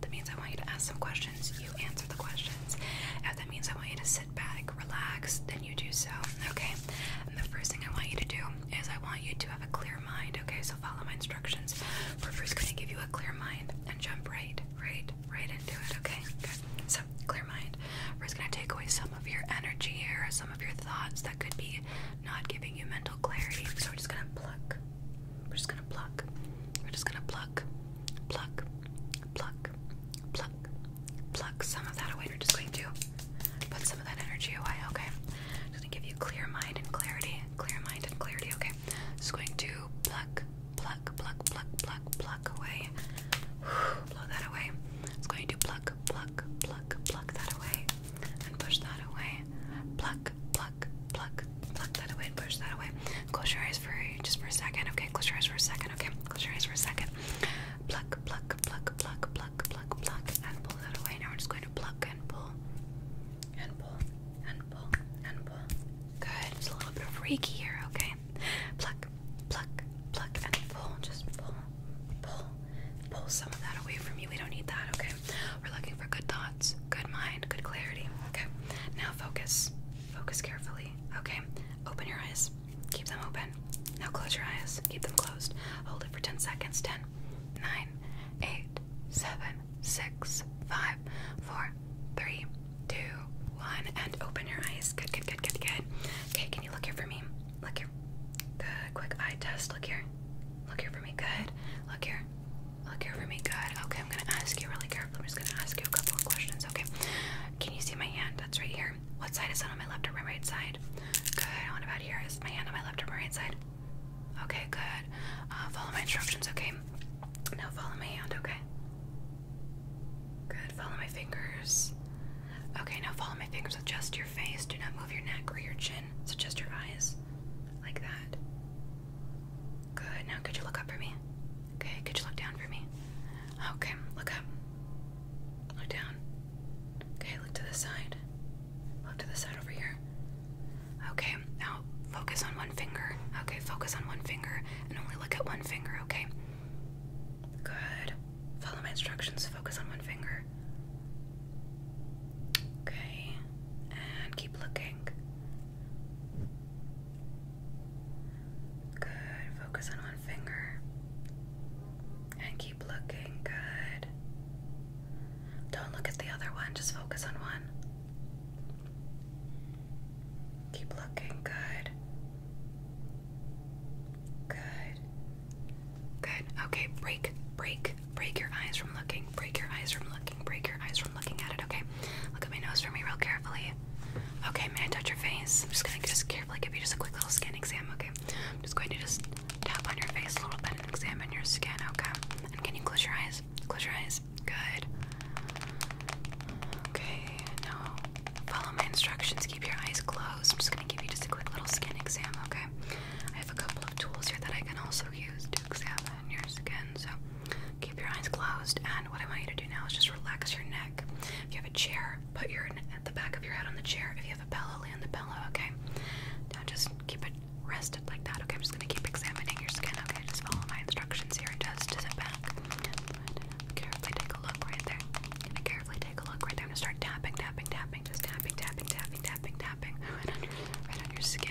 that means I want you to ask some questions, you answer the questions. If that means I want you to sit back, relax, then you do so, okay? the first thing I want you to do is I want you to have a clear mind, okay? So follow my instructions. We're first going to give you a clear mind and jump right, right, right into it, okay? Good. So, clear mind. We're just going to take away some of your energy here, some of your thoughts that could be not giving you mental clarity. So, we're just going to pluck, we're just gonna pluck. We're just gonna pluck, pluck, pluck, pluck, pluck some of that away. We're just going to put some of that energy away, okay? Just gonna give you clear mind and clarity. Clear mind and clarity, okay? Just going to pluck, pluck, pluck, pluck, pluck, pluck away. Blow that away. It's going to pluck, pluck, pluck, pluck that away. And push that away. Pluck, pluck pluck, pluck, pluck that away and push that away. Close your eyes for just for a second, okay? Close your eyes for a second, okay? Close your eyes for a second. Pluck, pluck, pluck, pluck, pluck, pluck, pluck, and pull that away. Now we're just going to pluck and pull, and pull, and pull, and pull. Good. It's a little bit of reiki here, okay? Pluck, pluck, pluck, and pull. Just pull, pull, pull some of that away from you. We don't need that, okay? We're looking for good thoughts good mind, good clarity. Okay, now focus. Focus carefully. Okay, open your eyes. Keep them open. Now close your eyes. Keep them closed. Hold it for 10 seconds. 10, 9, 8, 7, 6, 5, 4, 3, 2, 1. And open your eyes. Good, good, good, good, good. Okay, can you look here for me? Look here. Good. Quick eye test. Look here. Look here for me. Good. Look here. Look over me, good. Okay, I'm gonna ask you really carefully. I'm just gonna ask you a couple of questions, okay? Can you see my hand? That's right here. What side is that on my left or my right side? Good. What about here? Is my hand on my left or my right side? Okay, good. Uh, follow my instructions, okay? Now follow my hand, okay? Good. Follow my fingers. Okay, now follow my fingers Adjust your face. Do not move your neck or your chin. So just your eyes. Like that. Good. Now, could you look up for me? Okay. Could you look down for me? Okay. Look up. Look down. Okay. Look to the side. Look to the side over here. Okay. Now, focus on one finger. Okay. Focus on one finger and only look at one finger. Okay. Good. Follow my instructions. Focus on one finger. Okay. And keep looking. Good. Focus on one finger. And keep looking. Good. Don't look at the other one, just focus on one. Keep looking. Good. Good. Good. Okay, break, break, Break, your eyes from looking. Break your eyes from looking. Break your eyes from looking at it. Okay. Look at my nose for me real carefully. Okay. May I touch your face? I'm just gonna just carefully give you just a quick little skin exam. Okay. I'm just going to just tap on your face a little bit and examine your skin. Okay. And can you close your eyes? Close your eyes. Good. Okay. Now follow my instructions. Keep your eyes closed. I'm just gonna give you just a quick little skin exam. Okay. I have a couple of tools here that I can also use to examine your skin. So keep your eyes closed. And what I want you to do now is just relax your neck. If you have a chair, put your at the back of your head on the chair. If you have a pillow, lay on the pillow. Okay. Now just keep it rested like that. Okay. I'm just gonna keep examining your skin. Okay. Just follow my instructions here. Just sit back. Carefully take a look right there. Carefully take a look right there. I'm gonna start tapping, tapping, tapping. Just tapping, tapping, tapping, tapping tapping, tapping right on your, right on your skin.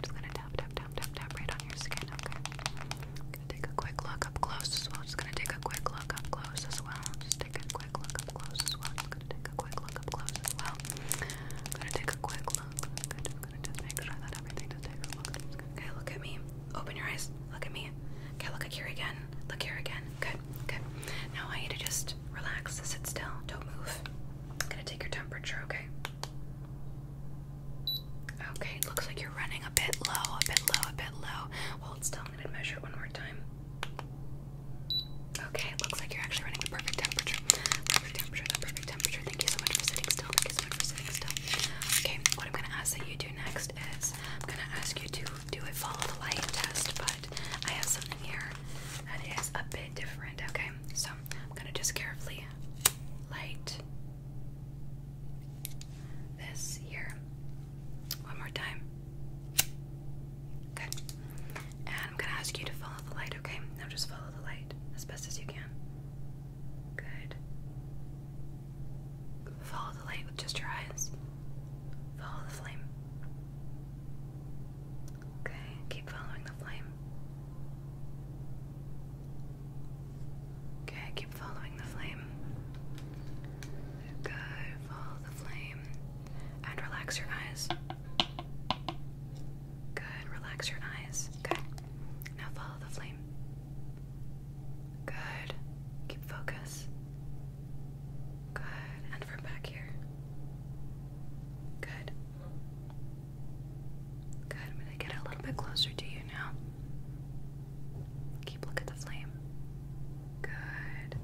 just gonna tap, tap, tap, tap, tap right on your skin. Okay, I'm gonna take a quick look up close as well. Just gonna take a quick look up close as well. Just take a quick look up close as well. gonna take a quick look up close as well. gonna take a quick look. just gonna make sure that everything just takes a look. Okay, look at me. Open your eyes. Look at me. Okay, look here again. Look here again. Good, good. Now I need to just relax, sit still, don't move. I'm gonna take your temperature, okay? Okay, looks like you're running a bit low, a bit low, a bit low. Hold still, I'm gonna measure it one more time. Okay, it looks like you're actually running the perfect temperature. Perfect temperature, perfect temperature. Thank you so much for sitting still. Thank you so much for sitting still. Okay, what I'm gonna ask that you do next is I'm gonna ask you to do a follow the light test, but I have something here that is a bit different, okay? so I'm gonna just carefully light this here one more time. Good. And I'm gonna ask you to follow the light, okay? Now just follow the light as best as you can. Good. Follow the light with just your eyes. Follow the flame. Okay, keep following the flame. Okay, keep following the flame. Good, follow the flame. And relax your eyes. Good, relax your eyes. Okay, now follow the flame. Good, keep focus. Good, and from back here. Good. Good. I'm going to get a little bit closer to you now. Keep looking at the flame. Good.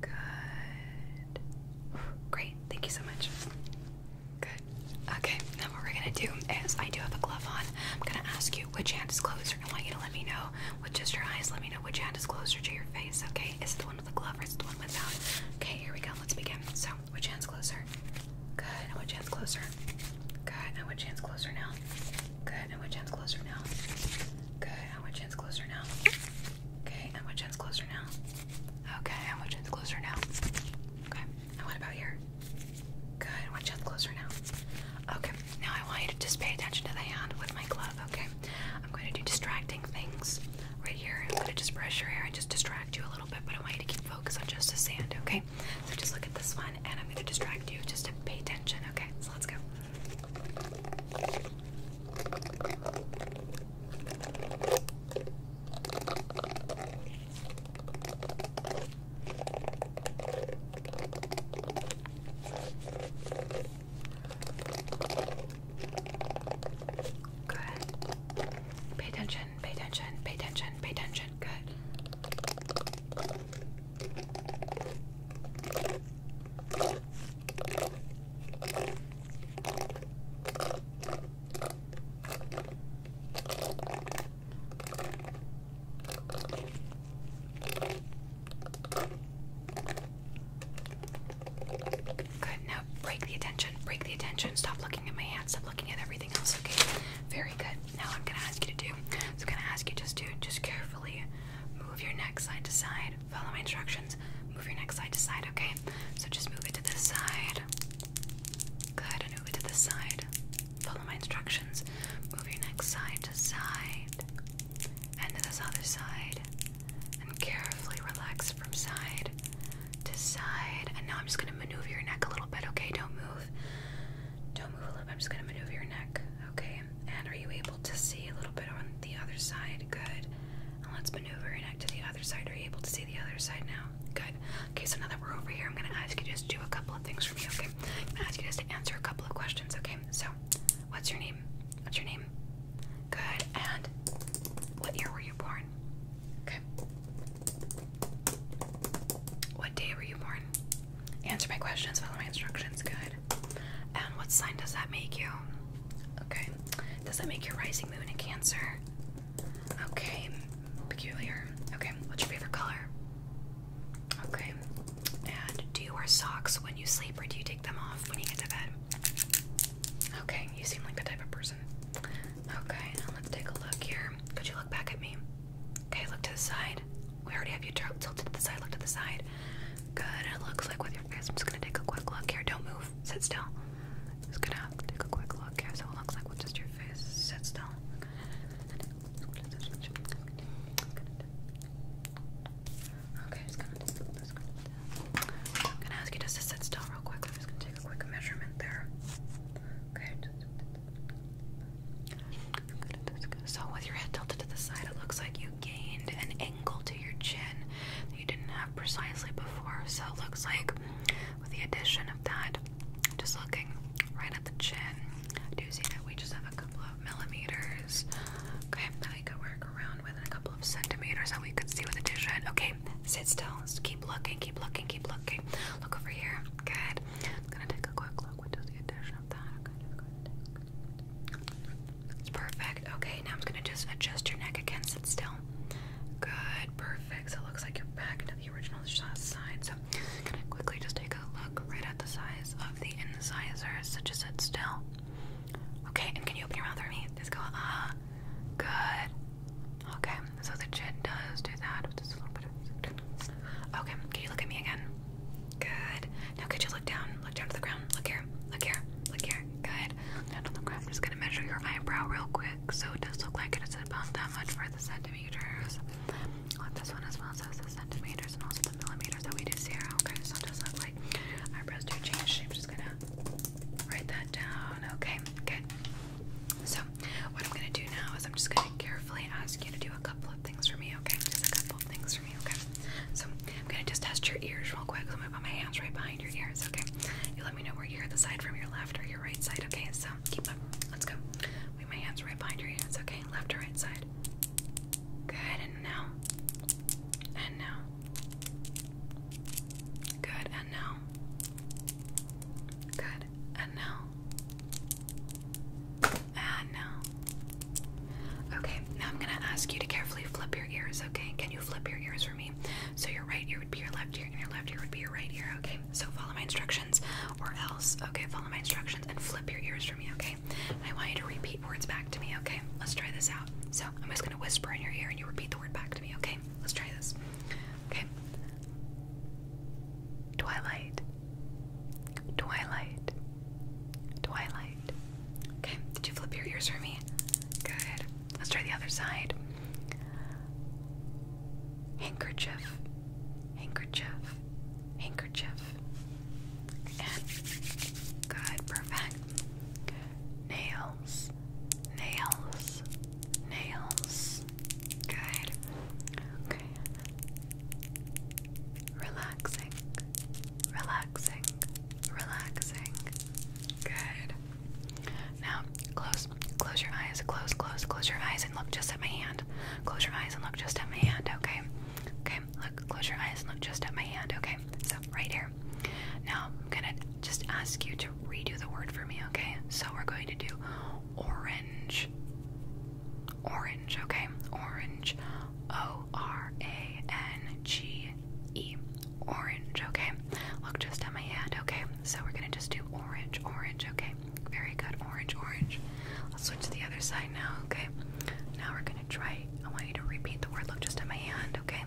Good. Great. Thank you so much. Good. Okay. Now what we're going to do is I do have a glove on. I'm going to ask you which hand is closer. I want you to let me know with just your eyes. Let me know which hand is closer to your face. Okay with a glove or the one without? Okay, here we go. Let's begin. So, which hand's closer? Good. And which hand's closer? Good. And which hand's closer now? Good. And which hand's closer now? Good. And which hand's closer now? Okay. And which hand's closer now? Okay. And which hand's closer now? Okay. And what about here? Good. which hand's closer now? Okay. Now I want you to just pay attention to the hand with my glove. Okay. I'm going to do distracting things right here. I'm going to just brush your hair and just distract you a little bit, but I want you to keep focus on just the sand, okay? So just look at this one, and I'm going to distract you just to pay attention, okay? So let's go. Good. Pay attention, pay attention, pay attention, pay attention. Good. Good. Now break the attention. Break the attention. Stop looking at my hands. Stop looking at everything else. Okay. Very good. Now I'm gonna ask you to do. I'm gonna ask you just to just carefully move your neck side to side. Follow my instructions. Move your neck side to side. Okay. So just move it to this side. Good. move it to this side. Follow my instructions. Move your neck side to side and to this other side, and carefully relax from side to side. And now I'm just gonna maneuver your neck a little bit, okay? Don't move. Don't move a little bit. I'm just gonna maneuver your neck, okay? And are you able to see a little bit on the other side? Good. And let's maneuver your neck to the other side. Are you able to see the other side now? Good. Okay, so now that we're over here, I'm gonna ask you just to do a couple of things for me, okay? I'm gonna ask you just to answer a couple of questions, okay? So, what's your name? What's your name? Good. And what year were you born? Okay. What day were you born? Answer my questions, follow my instructions. Good. And what sign does that make you? Okay. Does that make your rising moon in Cancer? Okay. Peculiar. Okay. What's your favorite color? Okay. And do you wear socks when you sleep or do you take them off when you get to bed? Okay, you seem like the type of person. Okay, now let's take a look here. Could you look back at me? Okay, look to the side. We already have you tilted to the side. Look to the side. Good. It looks like with your face. I'm just gonna take a quick look here. Don't move. Sit still. Just gonna take a quick look here. So it looks like with just your face. Sit still. Okay, I'm just gonna, just gonna ask you to sit still real quick. I'm just gonna take a quick measurement there. Okay. So with your head tilted to the side, it looks like you gained an angle to your chin that you didn't have precisely before. So it looks like with the addition of that, just looking right at the chin, I do see that we just have a couple millimeters. Okay, that I could work around with a couple of centimeters that we could see with a dish Okay, sit still. keep looking, keep looking, keep looking. Look over here. Good. I'm gonna take a quick look. What does the addition of that? Okay, it's perfect. Okay, now I'm gonna just adjust your neck again. Sit still. Good, perfect. So it looks like you're back to the original side. So I'm quickly just take a look right at the size of the incisors. So just sit still. Okay, and can you open your mouth for me? Just go, ah, good. Okay, so the chin does do that with just a little bit Okay, can you look at me again? Good. Now could you look down? Look down to the ground. Look here. Look here. Look here. Good. Look down to the ground. I'm just gonna measure your eyebrow real quick. So it does look like it is about that much for the centimeters i this one as well. So it's the centimeters and also the millimeters that we do zero. Okay, so it does look like eyebrows do change shape. Just gonna write that down. Okay, good. So what I'm gonna do now is I'm just gonna carefully ask you to do a couple of things for me. Okay, just a couple of things for me. Okay, so I'm gonna just test your ears real quick. So I'm gonna put my hands right behind your ears. Okay, you let me know where you hear the side from your left or your right side. Okay, so keep up. Let's go my hands right behind your hands, okay? Left or right side. Good, and now. And now. Good, and now. Good, and now. And now. Okay, now I'm gonna ask you to carefully flip your ears, okay? Can you flip your ears for me? So your right ear would be your left ear, and your left ear would be your right ear, okay? So follow my instructions or else. Okay, follow my instructions and flip your ears for me, okay? I want you to repeat words back to me, okay? Let's try this out. So I'm just gonna whisper in your ear and you repeat the word back to me, okay? Let's try this. Okay. Twilight. Twilight. Twilight. Okay, did you flip your ears for me? Good. Let's try the other side. Handkerchief. Handkerchief handkerchief, and good, perfect. Nails, nails, nails. Good. Okay. Relaxing, relaxing, relaxing. Good. Now, close, close your eyes, close, close, close your eyes and look just at my hand. Close your eyes and look just at my hand, okay? Okay, look, close your eyes and look just at my hand, okay? So, right here. Now, I'm gonna just ask you to redo the word for me, okay? So, we're going to do orange. Orange, okay? Orange. O R A N G E. Orange, okay? Look just at my hand, okay? So, we're gonna just do orange, orange, okay? Very good. Orange, orange. Let's switch to the other side now, okay? Now we're gonna try. I want you to repeat the word. Look just at my hand, okay?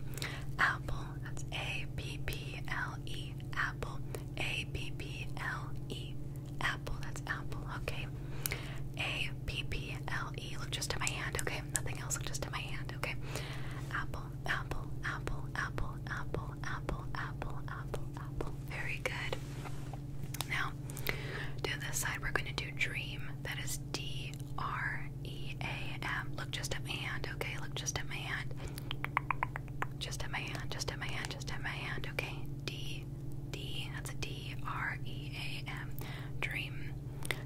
Apple. That's A P P L E. Apple. A P P L E. Apple. That's apple, okay? A P P L E. Look just at my hand, okay? Nothing else. Look just at my hand, okay? Apple, apple, apple, apple, apple, apple, apple, apple, apple, apple very good. Now, to this side, we're going to do dream. That is D R E A M. Look just at my hand, okay? Look just at my hand. Just at my hand, just at my hand, just at my hand, okay? D D. That's a D R E A M. Dream,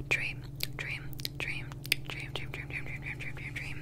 dream, dream, dream, dream, dream, dream, dream, dream, dream, dream, dream, dream, dream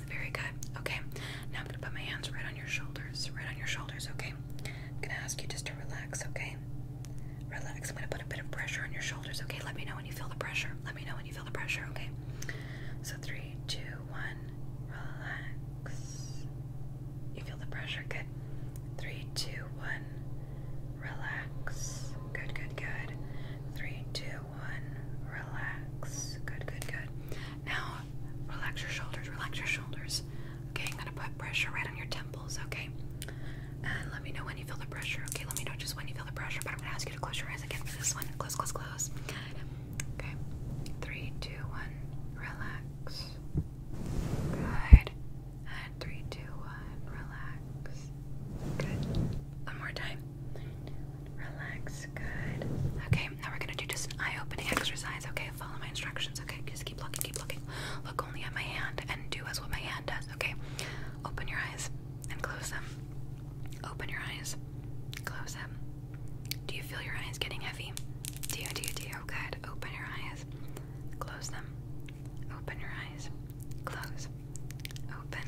Very good. Okay. Now I'm going to put my hands right on your shoulders. Right on your shoulders, okay? I'm going to ask you just to relax, okay? Relax. I'm going to put a bit of pressure on your shoulders, okay? Let me know when you feel the pressure. Let me know when you feel the pressure, okay? So, three, two, one, relax. You feel the pressure? Good. Three, two, one, relax. Good, good, good. Three, two, one. Relax. Good, good, good. Now, relax your shoulders. Relax your shoulders. Okay, I'm gonna put pressure right on your temples. Okay, and let me know when you feel the pressure. Okay, let me know just when you feel the pressure. But I'm gonna ask you to close your eyes again for this one. Close, close, close. Okay, three, two, one. Relax. Good. And three, two, one. Relax. Good. One more time. Okay, now we're gonna do just an eye-opening exercise. Okay, follow my instructions. Okay, just keep looking, keep looking. Look only at my hand and do as what my hand does. Okay, open your eyes and close them. Open your eyes, close them. Do you feel your eyes getting heavy? Do you? Do you? Do you? Good. Open your eyes, close them. Open your eyes, close. Open,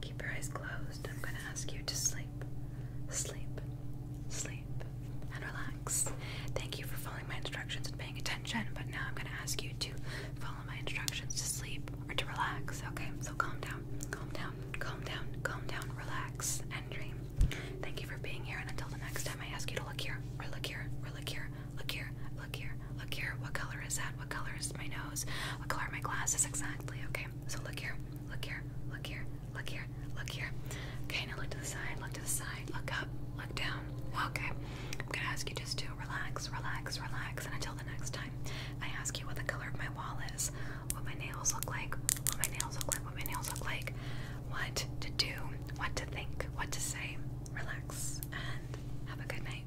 Keep your eyes closed. I'm going to ask you to sleep, sleep, sleep, and relax. Thank you for following my instructions and paying attention, but now I'm going to ask you to follow my instructions to sleep or to relax, okay? So calm down, calm down, calm down, calm down, relax, and dream. Thank you for being here, and until the next time, I ask you to look here, or look here, or look here, look here, look here, look here. What color is that? What color is my nose? What color are my glasses? Exactly. Okay, so look here, look here, look here, look here, look here. Okay, now look to the side, look to the side, look up, look down. Okay, I'm gonna ask you just to relax, relax, relax. And until the next time, I ask you what the color of my wall is, what my nails look like, what my nails look like, what my nails look like, what to do, what to think, what to say. Relax and have a good night.